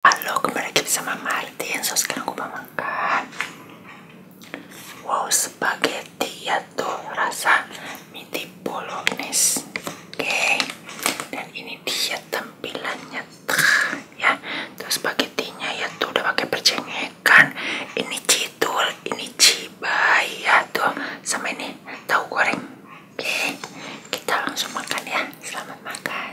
halo kembali lagi que sama Martin, só aku não makan. Wow, spaghetti ya tuh rasa midi bolognese. Oke. Dan ini dia tampilannya ya. Terus nya ya tuh udah pakai percengekan. Ini cidul, ini cibai ya tuh sama ini tahu goreng. Oke. Kita langsung makan ya. Selamat makan.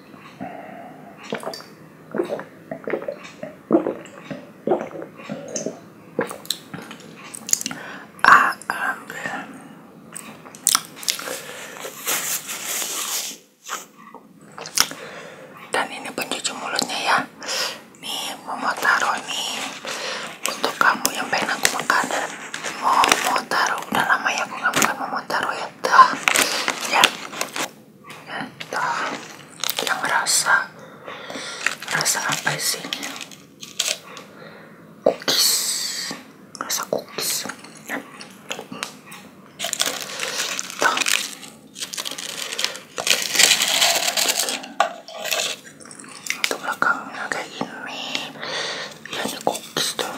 Ah, ambil. Dan ini pencuci mulutnya ya. ini mau taruh untuk kamu yang pengen aku makan. Mau mau udah lama ya aku nggak makan memutar tak ya tak, yang rasa rasa apa isinya cookies rasa cookies ya. untuk belakangnya kayak gini ya ini cookies tuh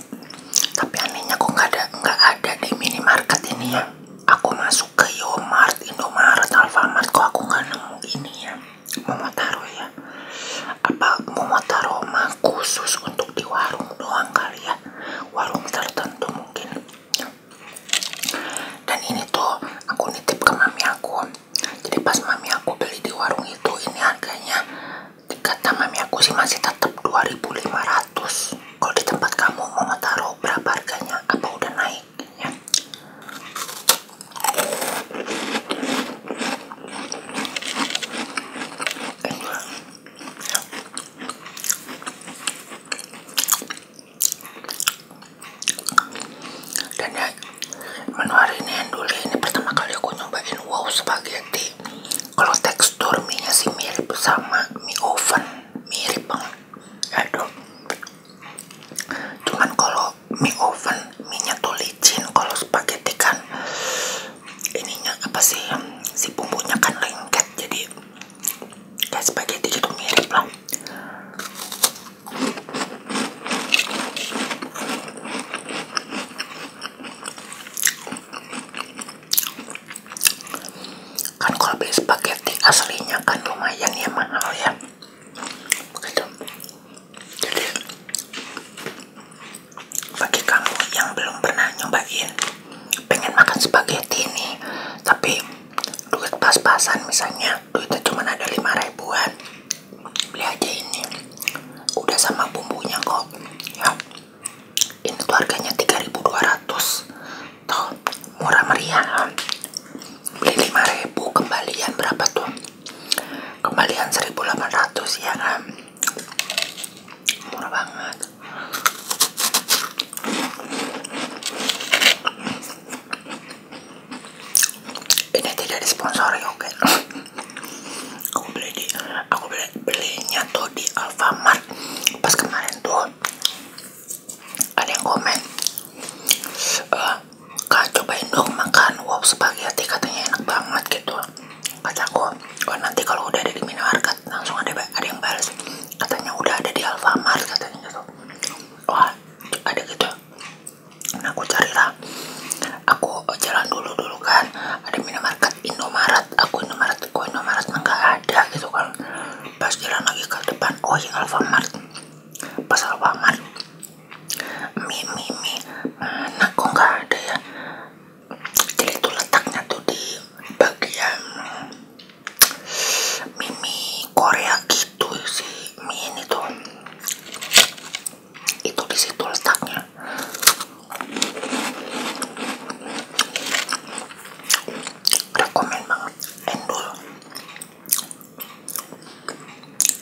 tapi anehnya aku nggak ada nggak ada di minimarket ini ya aku masuk ke Yomart, Indomaret, Alfamart kok aku nggak nemu ini ya mau taruh ya apa mau taruh mah khusus untuk di warung doang kali ya warung tertentu mungkin dan ini tuh aku nitip ke mami aku jadi pas mami aku beli di warung itu ini harganya kata mami aku sih masih tetap 2500 terus kalau di tempat kamu mau taruh berapa harganya apa udah naik ya. dan ya menu hari ini enduli ini pertama kali aku nyobain wow sebagai spaghetti kalau tekstur minyak nya sih mirip sama mie oven mirip banget aduh cuman kalau mie oven minyak tuh licin kalau spaghetti kan ininya apa sih si bumbunya kan lengket jadi kayak spaghetti itu mirip lah kan kalau beli spaghetti aslinya kan lumayan ya mahal ya begitu jadi bagi kamu yang belum pernah nyobain pengen makan spaghetti nih tapi duit pas-pasan misalnya duitnya cuma ada lima ribuan beli aja ini udah sama bumbunya kok ya ini tiga ribu dua ratus, tuh murah meriah beli 5000 kembalian berapa tuh kembalian seribu ratus, ya kan murah banget ini tidak disponsori oke okay? aku beli di aku beli belinya tuh di Alfamart pas kemarin tuh ada yang komen eh, cobain dong makan wow spaghetti katanya enak banget gitu kataku oh, nanti kalau udah ada di minimarket langsung ada ada yang balas katanya udah ada di Alfamart katanya gitu wah ada gitu nah aku carilah aku jalan dulu dulu kan ada minimarket Indomaret aku Indomaret aku Indomaret nggak ada gitu kan pas jalan lagi ke depan oh ya Alfamart pas Alfamart mie Mimi, mie mana nggak ada ya jadi itu letaknya tuh di bagian Mimi Korea gitu sih mie ini itu di situ letaknya rekomen banget endul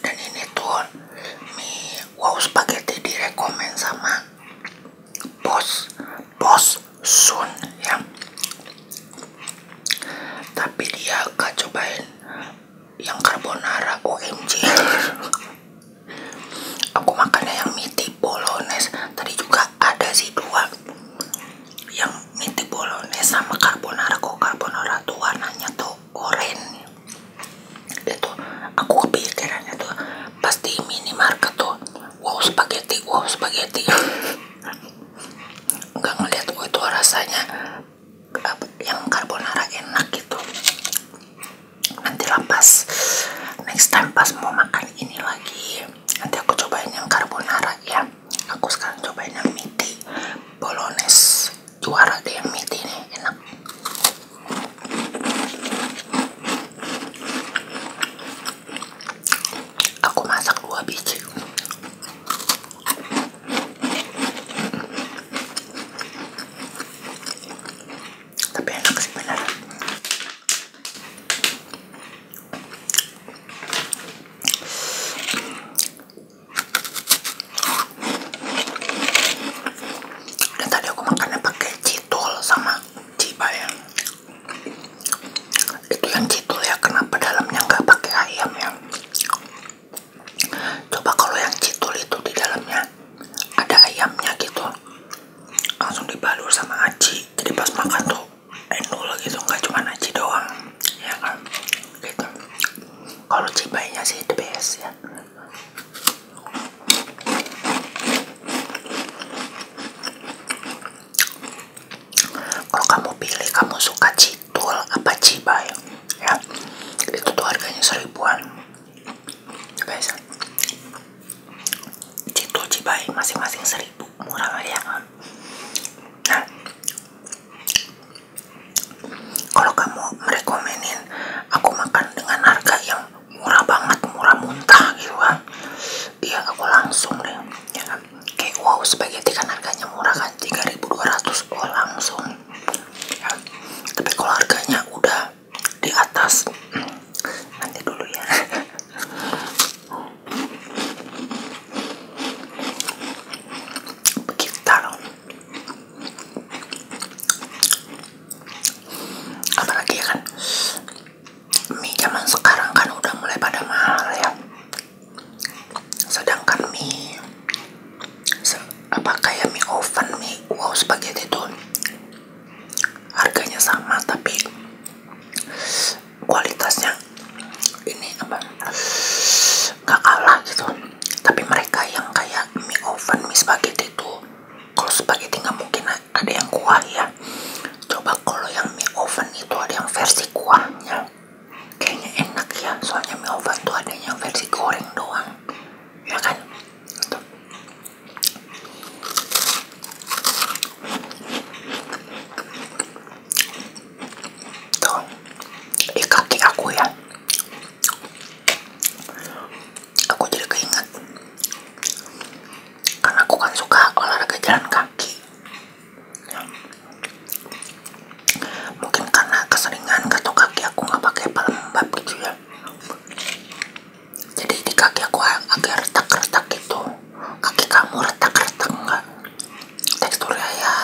dan ini tuh mie wow spaghetti direkomen sama bos bos Sun ya tapi dia gak cobain yang carbonara OMG aku makannya yang miti bolognese tadi juga ada sih dua yang miti bolognese sama carbonara kok carbonara tuh warnanya tuh oranye itu aku kepikirannya tuh pasti minimarket tuh wow spaghetti wow spaghetti nggak ngeliat oh, itu rasanya eh, yang carbonara enak gitu nanti lah next time pas mau makan ini lagi nanti aku cobain yang carbonara ya aku sekarang cobain yang miti bolognese juara deh yang miti nih enak aku masak dua biji tapi enak sih beneran dan tadi aku makannya pakai citol sama cibayang itu yang citol ya kenapa dalamnya nggak pakai ayam ya coba kalau yang citol itu di dalamnya ada ayamnya gitu langsung dibalur sama aci jadi pas makan tuh lagi gitu nggak cuma aci doang ya kan gitu kalau cibainya sih the best ya kalau kamu pilih kamu suka citul apa cibai ya itu tuh harganya seribuan biasa ya, Cito Cibai masing-masing seribu murah meriah kan nah. kalau kamu merekomenin aku makan dengan harga yang murah banget murah muntah gitu iya aku langsung deh ya kan? kayak wow spaghetti kan harganya murah kan 3200 oh langsung ya kan? tapi kalau harganya udah di atas nanti dulu ya kita taruh apalagi ya kan mie zaman sekarang kan udah mulai pada mahal ya sedangkan mie se apa kayak mie oven mie wow spaghetti itu harganya sama tapi kualitasnya ini apa nggak kalah gitu tapi mereka yang kayak mie oven mie spaghetti itu kalau spaghetti nggak mungkin ada yang kuah ya coba kalau yang mie oven itu ada yang versi kuahnya kayaknya enak ya soalnya mie oven tuh ada yang versi goreng doang ya kan Tuh, di kaki aku ya. Aku jadi keinget. Karena aku kan suka olahraga jalan kaki. Mungkin karena keseringan atau kaki aku nggak pakai pelembab gitu ya jadi di kaki aku agak retak-retak gitu kaki kamu retak-retak enggak teksturnya ya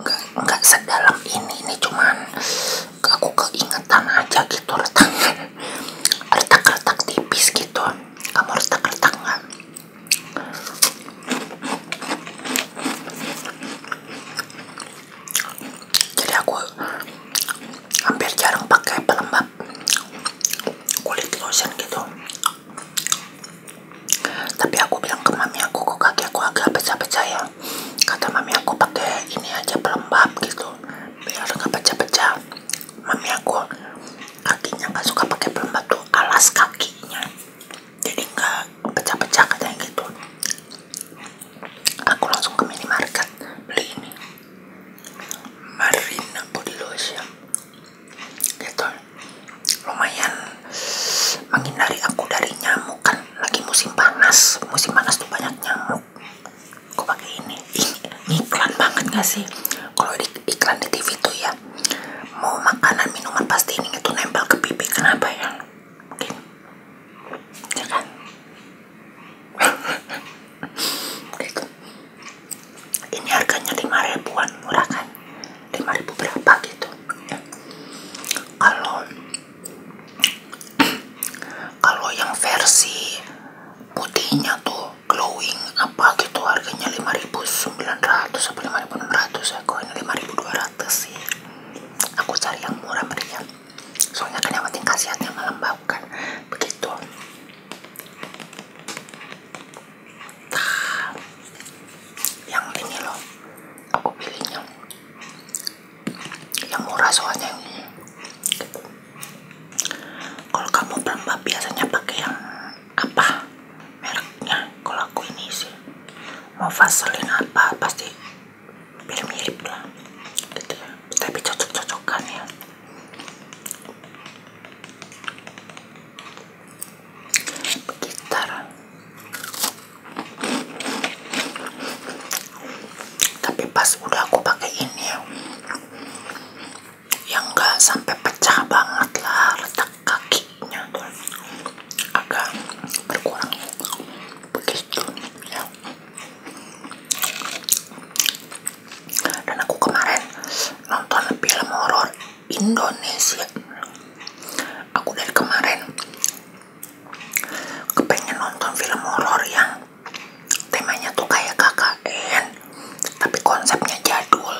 enggak, enggak sedalam ini ini cuman aku keingetan aja gitu retaknya retak-retak tipis gitu kamu retak-retak enggak jadi aku hampir jarang pakai pelembab kulit lotion gitu tapi aku bilang ke mami aku kok kaki aku agak pecah-pecah ya kata mami aku pakai ini aja pelembab gitu biar nggak pecah-pecah mami aku kakinya nggak suka pakai pelembab tuh alas kakinya jadi nggak pecah-pecah katanya gitu aku langsung ke minimarket beli ini Marina Body Lotion gitu lumayan menghindari aku dari nyamuk kan lagi musim panas musim panas tuh banyak nyamuk aku pakai ini ini iklan banget gak sih kalau di iklan di TV tuh ya mau makanan minuman pasti ini tuh nempel ke pipi kenapa ya mungkin ya kan ini harganya lima ribuan murah kan 5 ribu berapa gitu kalau kalau yang versi putihnya tuh glowing apa gitu harganya lima ribu sembilan 5900 atau 5600 ya ribu dua ratus sih aku cari yang murah meriah soalnya kan yang penting khasiatnya melembabkan begitu nah, yang ini loh aku pilihnya yang murah soalnya ini gitu. kalau kamu pelembab biasanya pakai yang apa mereknya kalau aku ini sih mau vaselin apa pasti mirip-mirip lah gitu ya tapi cocok-cocokan ya gitar tapi pas udah aku pakai ini ya, yang gak sampai pecah banget lah retak kakinya agak berkurang ya. begitu ya dan aku kemarin nonton film horor Indonesia aku dari kemarin kepengen nonton film horor yang temanya tuh kayak KKN tapi konsepnya jadul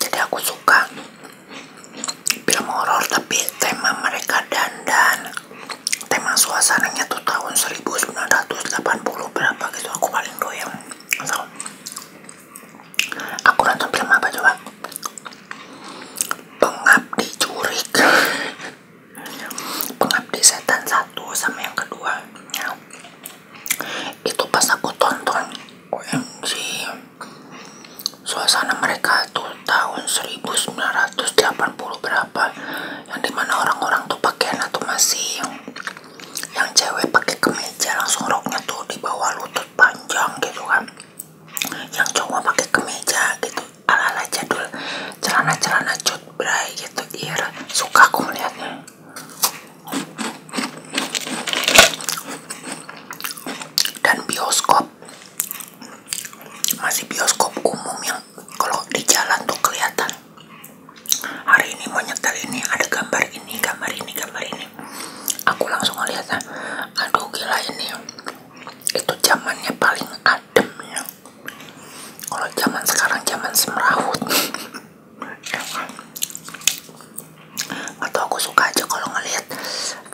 jadi aku suka film horor tapi tema mereka dandan tema suasananya tuh tahun 1980 berapa gitu aku paling doyan so, aku nonton film apa coba pengabdi curik pengabdi setan satu sama yang kedua itu pas aku tonton OMG suasana mereka itu tahun 1980 berapa yang dimana orang-orang tuh pakaian atau masih yang yang cewek pakai kemeja langsung roknya tuh di bawah lutut panjang gitu kan yang cowok pakai kemeja gitu ala-ala jadul celana-celana cut bray gitu iya suka aku melihatnya dan bioskop masih bioskop umum yang kalau di jalan tuh kelihatan hari ini mau nyetel ini ada gambar ini gambar ini gambar ini aku langsung melihatnya ah, aduh gila ini itu zamannya paling adem ya kalau zaman sekarang zaman semrawut atau aku suka aja kalau ngelihat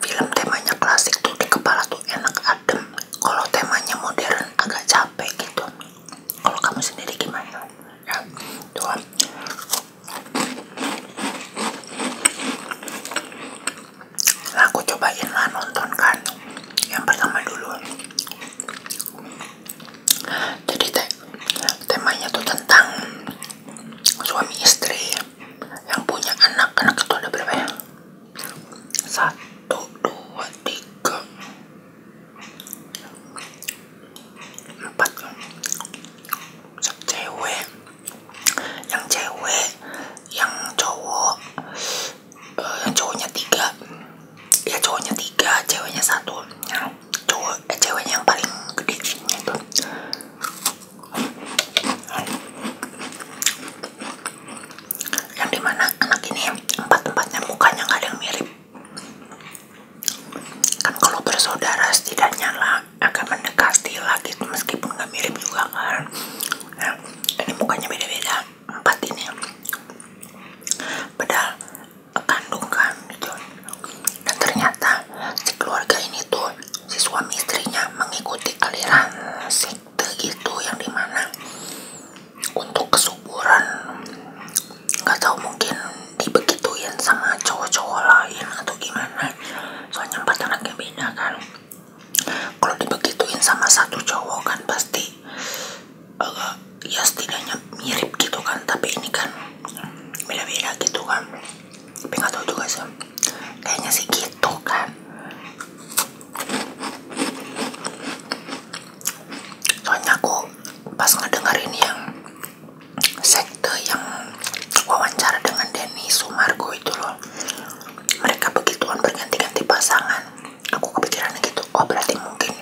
film temanya klasik tuh di kepala tuh enak adem kalau temanya modern agak capek gitu kalau kamu sendiri gimana ya tuh nah, aku cobain lah nonton kan yang pertama dulu jadi te temanya tuh tentang suami istri yang punya anak anak itu ada berapa ya satu dua tiga empat cewek yang cewek yang cowok eh, yang cowoknya tiga ya cowoknya tiga ceweknya satu cowok eh, yang paling gede itu yang dimana anak ini empat tempatnya mukanya nggak ada yang mirip kan kalau bersaudara setidaknya lah agak mendekati lagi gitu, meskipun nggak mirip juga kan nah, ini mukanya beda-beda empat ini padahal kandungan kan gitu. Dan ternyata si keluarga ini tuh si suami istrinya mengikuti aliran sekte gitu yang dimana untuk kesuburan nggak tahu mungkin dibegituin sama cowok-cowok lain atau gimana soalnya empat anaknya beda kan kalau dibegituin sama satu cowok kan pasti agak eh, ya setidaknya mirip gitu kan tapi ini kan beda-beda gitu kan tapi gak tau juga sih kayaknya sih gitu kan soalnya aku pas ngedengerin yang sekte yang wawancara dengan Denny Sumargo itu loh mereka begituan berganti-ganti pasangan aku kepikiran gitu oh berarti mungkin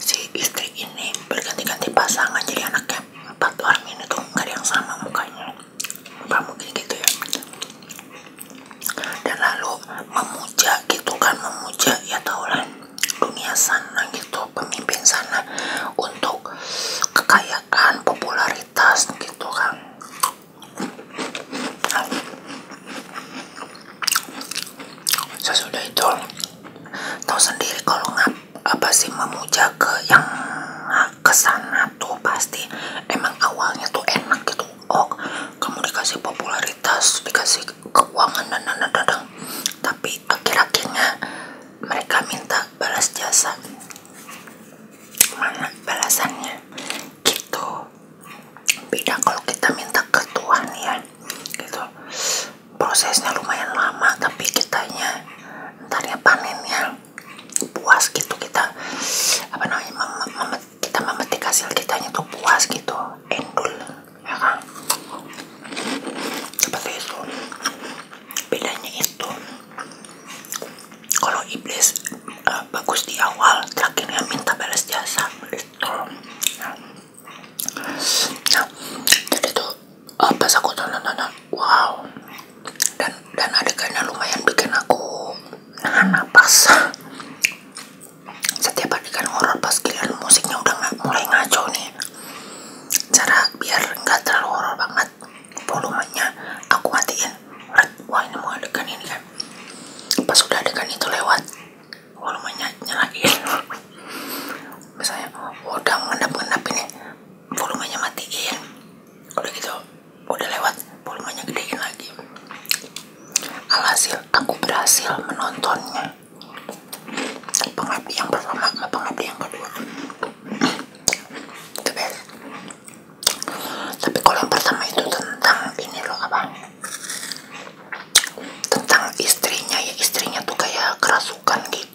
si istri ini berganti-ganti pasangan jadi anaknya nggak yang sama mukanya apa mungkin gitu ya dan lalu memuja gitu kan memuja ya tau lah dunia sana gitu pemimpin sana untuk kekayaan popularitas gitu kan sesudah itu tahu sendiri kalau nggak apa sih memuja ke yang kesana tuh pasti emang awalnya tuh enak gitu oh kamu dikasih popularitas dikasih keuangan dan dan dan tapi akhir-akhirnya mereka minta balas jasa mana balasannya gitu beda kalau kita minta ke Tuhan ya gitu prosesnya lumayan lama tapi kitanya entarnya panennya puas gitu kita apa namanya mem mem kita memetik hasil kitanya tuh puas gitu endul ya kan seperti itu bedanya itu kalau iblis uh, bagus di awal terakhirnya minta balas jasa itu nah jadi tuh uh, pas aku tonton tonton wow dan dan adegannya lumayan bikin aku nahan napas setiap adegan horor pas giliran musiknya udah nggak mulai ngaco nih cara biar nggak terlalu horor banget volumenya aku matiin wah ini mau adegan ini kan pas udah adegan itu lewat volumenya nyalain misalnya oh, udah ngendap-ngendap ini volumenya matiin udah gitu udah lewat volumenya gedein lagi alhasil aku berhasil menontonnya pengabdi yang pertama sama pengabdi yang kedua tapi kalau yang pertama itu tentang ini loh apa tentang istrinya ya istrinya tuh kayak kerasukan gitu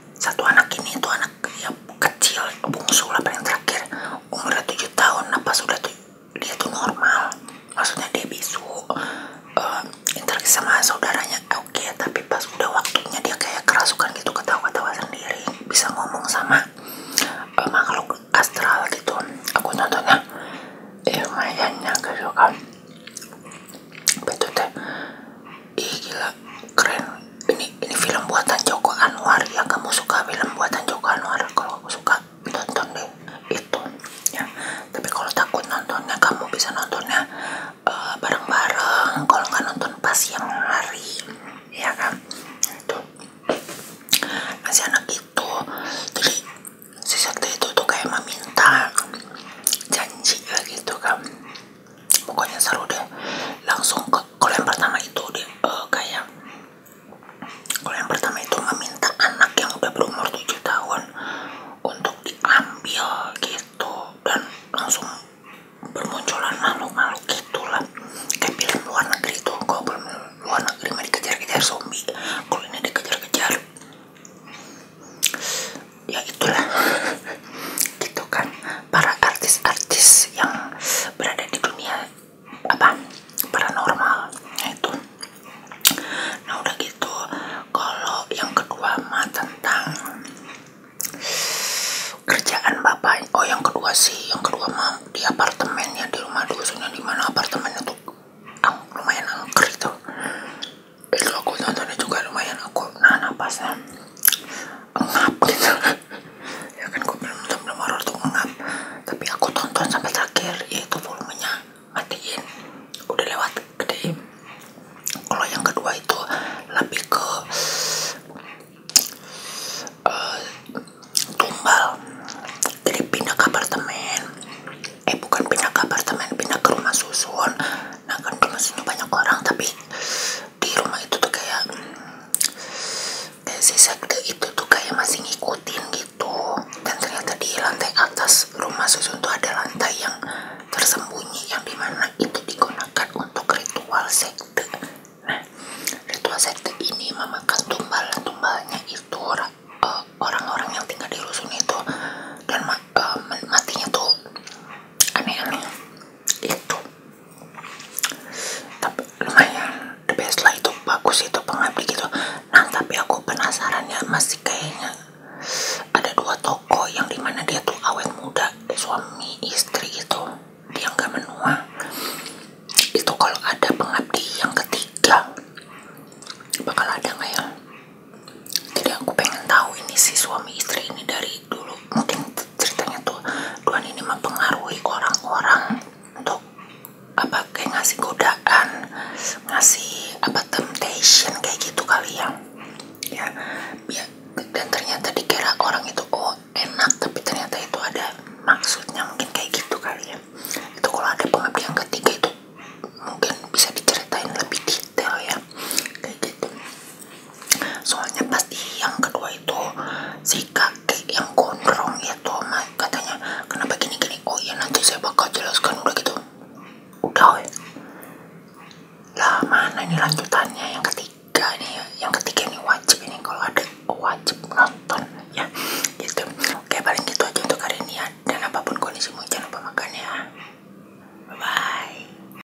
satu anak ini itu anak ya, kecil bungsu lah paling terakhir umur tujuh tahun apa nah sudah tuh dia tuh normal maksudnya dia bisu uh, interaksi sama saudaranya oke okay, tapi pas udah waktunya dia kayak kerasukan gitu ketawa-ketawa sendiri bisa ngomong sama uh, makhluk astral gitu aku nontonnya ya eh, mayanya ya gitu kan betul deh ih gila keren ini ini film buatan Joko Anwar ya kamu suka film buatan Joko Anwar kalau aku suka nonton deh itu ya tapi kalau takut nontonnya kamu bisa nontonnya eh, bareng-bareng uh, kalau nggak nonton pas yang hari ya kan itu nah, itu jadi si itu tuh kayak meminta janji ya, gitu kan pokoknya seru deh langsung ke kolam pertama itu deh eh, kayak kolam pertama itu meminta anak yang udah berumur tujuh tahun untuk diambil gitu dan langsung bermunculan makhluk-makhluk gitulah kayak film luar negeri tuh kalau belum luar negeri mah dikejar-kejar zombie kalau ini dikejar-kejar ya itulah gitu kan para artis-artis yang berada di dunia apa paranormal ya, itu nah udah gitu kalau yang kedua ma tentang kerjaan bapak oh yang kedua sih yang kedua mah di apartemen ya di rumah dusunnya di mana apartemen itu ang, ah, lumayan angker itu itu aku nontonnya juga lumayan aku nana napasnya engap, gitu ya kan gue belum belum belum horor tuh engap. tapi aku tonton sampai terakhir yaitu volumenya matiin udah lewat gede kalau yang kedua itu lebih ke eh, tumbal jadi pindah ke apartemen eh bukan pindah ke apartemen pindah ke rumah susun nah kan rumah susun banyak orang tapi di rumah itu tuh kayak hmm, kayak si sekte itu tuh kayak masing ikutin gitu dan ternyata di lantai atas rumah susun tuh ada lantai yang tersembunyi yang dimana itu digunakan untuk ritual sekte nah ritual sekte ini memakan tumbal-tumbalnya itu eh, orang-orang uh, yang tinggal di rusun itu dan uh, matinya tuh aneh aneh itu tapi lumayan the best lah itu bagus itu pengabdi gitu nah tapi aku penasaran ya masih kayaknya ada dua toko yang dimana dia tuh awet muda suami istri gitu dia nggak menua itu kalau ada pengabdi yang ketiga bakal ada nggak ya jadi aku pengen tahu ini si suami istri ini dari dulu mungkin ceritanya tuh Tuhan ini mempengaruhi orang-orang untuk apa kayak ngasih godaan ngasih apa temptation kayak gitu kali ya. ya ya, dan ternyata dikira orang itu oh enak tapi ternyata itu ada maksudnya mungkin kayak gitu kali ya itu kalau ada pengabdian ketiga itu mungkin bisa diceritain lebih detail ya kayak gitu soalnya pasti yang kedua itu si kakek yang gondrong mak katanya kenapa gini gini oh ya nanti saya bakal jelaskan udah gitu udah weh lah mana ini lanjutannya yang ketiga nih yang ketiga ini wajib ini kalau ada wajib nonton ya gitu oke paling itu aja untuk hari ini ya dan apapun kondisimu jangan lupa makan ya bye bye